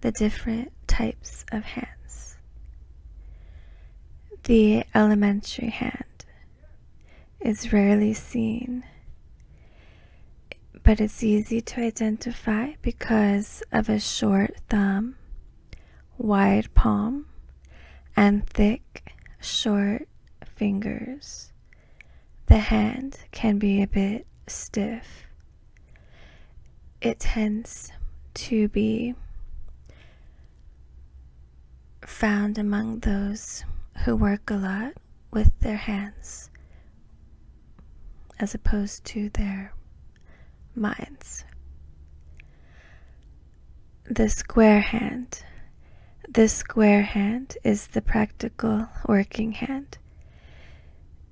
the different types of hands. The elementary hand is rarely seen, but it's easy to identify because of a short thumb wide palm, and thick, short fingers. The hand can be a bit stiff. It tends to be found among those who work a lot with their hands as opposed to their minds the square hand. The square hand is the practical working hand.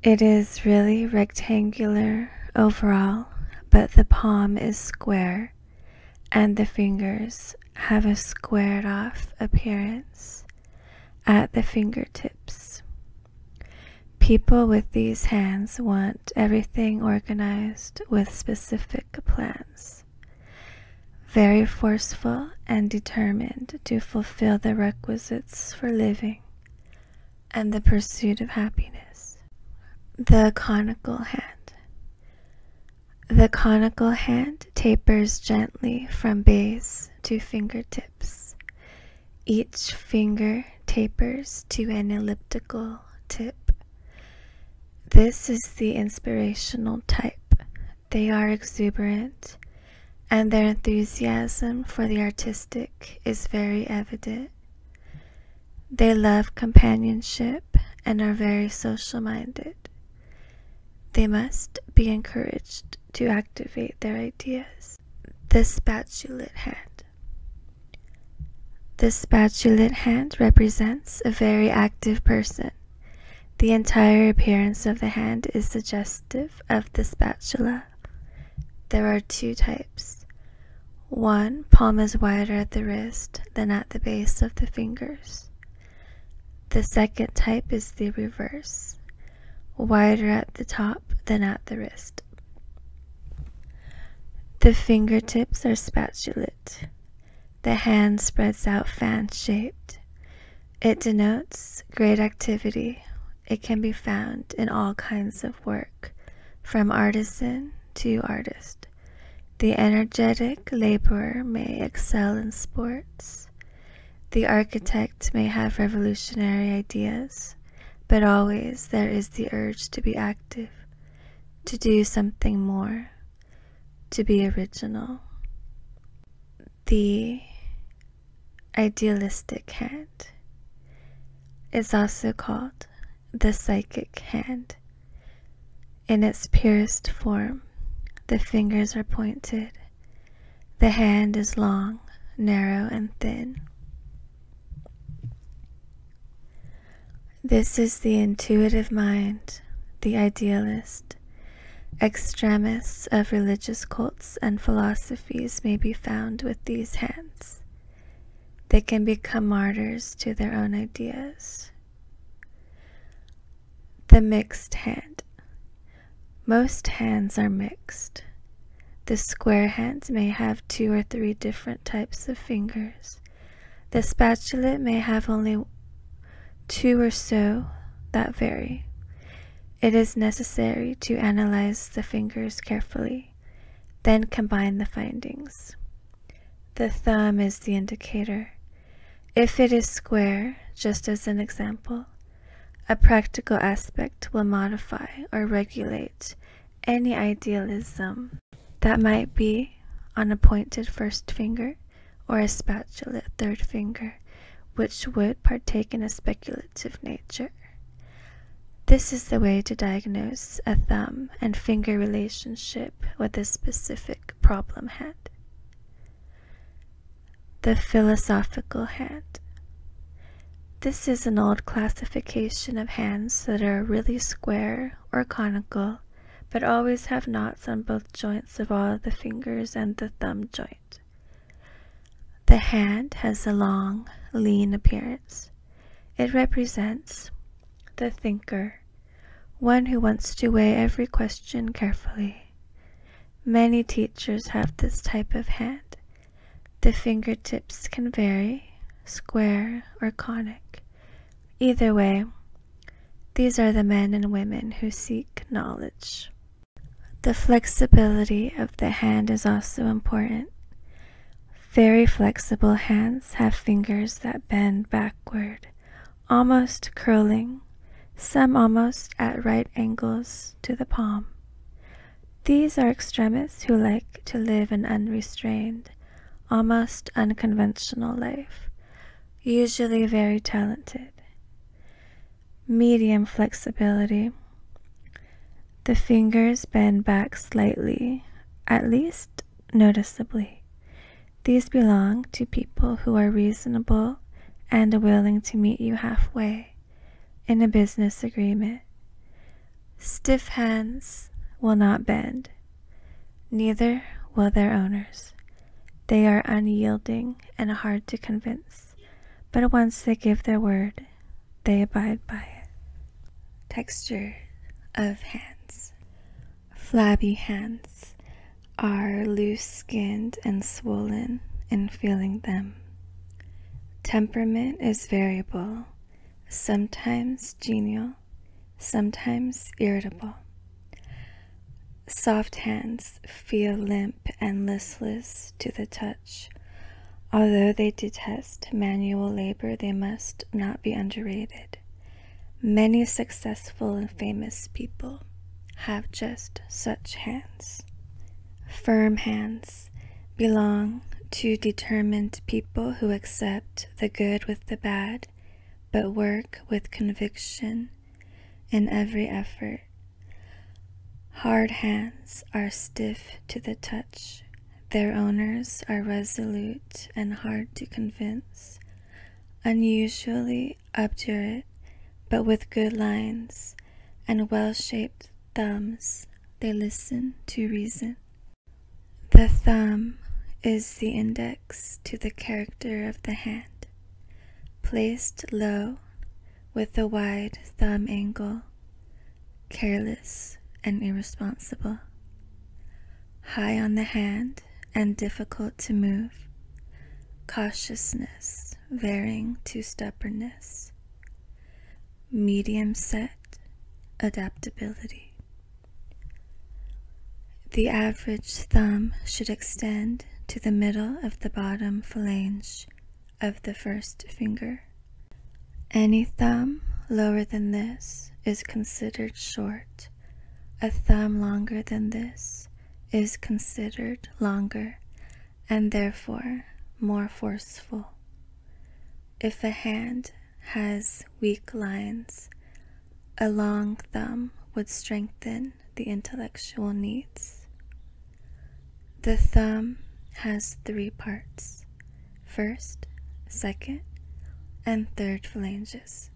It is really rectangular overall, but the palm is square and the fingers have a squared off appearance at the fingertips. People with these hands want everything organized with specific specific plans. Very forceful and determined to fulfill the requisites for living and the pursuit of happiness. The conical hand. The conical hand tapers gently from base to fingertips. Each finger tapers to an elliptical tip. This is the inspirational type. They are exuberant, and their enthusiasm for the artistic is very evident. They love companionship and are very social minded. They must be encouraged to activate their ideas. The spatulate hand. The spatulate hand represents a very active person. The entire appearance of the hand is suggestive of the spatula. There are two types. One palm is wider at the wrist than at the base of the fingers. The second type is the reverse, wider at the top than at the wrist. The fingertips are spatulate. The hand spreads out fan shaped. It denotes great activity. It can be found in all kinds of work, from artisan to artist. The energetic laborer may excel in sports. The architect may have revolutionary ideas, but always there is the urge to be active to do something more, to be original. The idealistic hand is also called the psychic hand. In its purest form, the fingers are pointed. The hand is long, narrow, and thin. This is the intuitive mind, the idealist. Extremists of religious cults and philosophies may be found with these hands. They can become martyrs to their own ideas. The mixed hand. Most hands are mixed. The square hands may have two or three different types of fingers. The spatulate may have only two or so that vary. It is necessary to analyze the fingers carefully, then combine the findings. The thumb is the indicator. If it is square, just as an example, a practical aspect will modify or regulate any idealism that might be on a pointed first finger or a spatulate third finger, which would partake in a speculative nature. This is the way to diagnose a thumb and finger relationship with a specific problem hand. The philosophical hand. This is an old classification of hands that are really square or conical, but always have knots on both joints of all the fingers and the thumb joint. The hand has a long, lean appearance. It represents the thinker, one who wants to weigh every question carefully. Many teachers have this type of hand, the fingertips can vary, square or conic. Either way, these are the men and women who seek knowledge. The flexibility of the hand is also important. Very flexible hands have fingers that bend backward, almost curling, some almost at right angles to the palm. These are extremists who like to live an unrestrained, almost unconventional life, usually very talented. Medium flexibility. The fingers bend back slightly, at least noticeably. These belong to people who are reasonable and willing to meet you halfway in a business agreement. Stiff hands will not bend, neither will their owners. They are unyielding and hard to convince, but once they give their word, they abide by it. Texture of hands. Flabby hands are loose skinned and swollen in feeling them. Temperament is variable sometimes genial, sometimes irritable. Soft hands feel limp and listless to the touch. Although they detest manual labor, they must not be underrated. Many successful and famous people have just such hands. Firm hands belong to determined people who accept the good with the bad, but work with conviction in every effort. Hard hands are stiff to the touch. Their owners are resolute and hard to convince, unusually obdurate, but with good lines and well shaped thumbs they listen to reason. The thumb is the index to the character of the hand, placed low with a wide thumb angle, careless and irresponsible. High on the hand and difficult to move, cautiousness varying to stubbornness medium set adaptability. The average thumb should extend to the middle of the bottom phalange of the first finger. Any thumb lower than this is considered short. A thumb longer than this is considered longer and therefore more forceful. If a hand has weak lines, a long thumb would strengthen the intellectual needs. The thumb has three parts first, second, and third phalanges.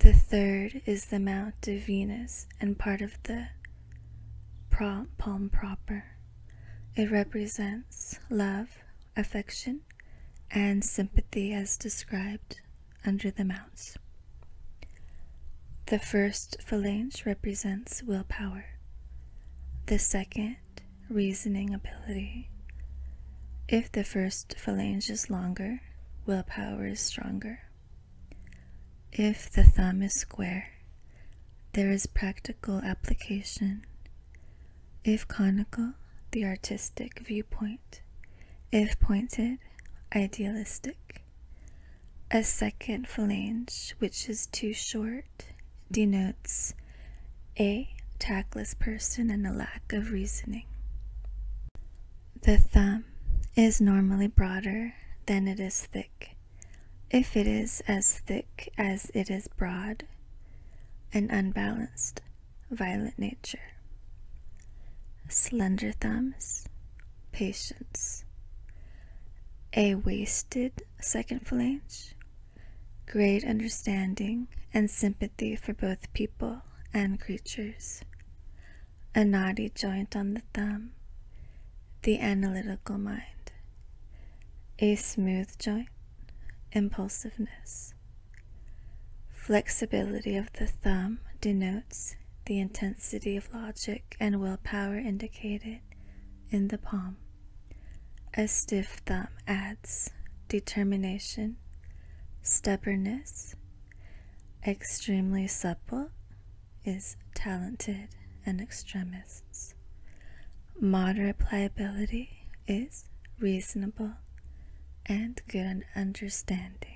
The third is the mount of Venus and part of the palm proper. It represents love, affection, and sympathy as described under the mounts. The first phalange represents willpower, the second, reasoning ability. If the first phalange is longer, willpower is stronger. If the thumb is square, there is practical application. If conical, the artistic viewpoint. If pointed, idealistic. A second phalange, which is too short, denotes a tactless person and a lack of reasoning. The thumb is normally broader than it is thick, if it is as thick as it is broad, an unbalanced, violent nature. Slender thumbs, patience. A wasted second phalange, great understanding and sympathy for both people and creatures. A knotty joint on the thumb, the analytical mind, a smooth joint, impulsiveness. Flexibility of the thumb denotes the intensity of logic and will power indicated in the palm. A stiff thumb adds determination, stubbornness, extremely supple, is talented and extremists. Moderate pliability is reasonable and good on understanding.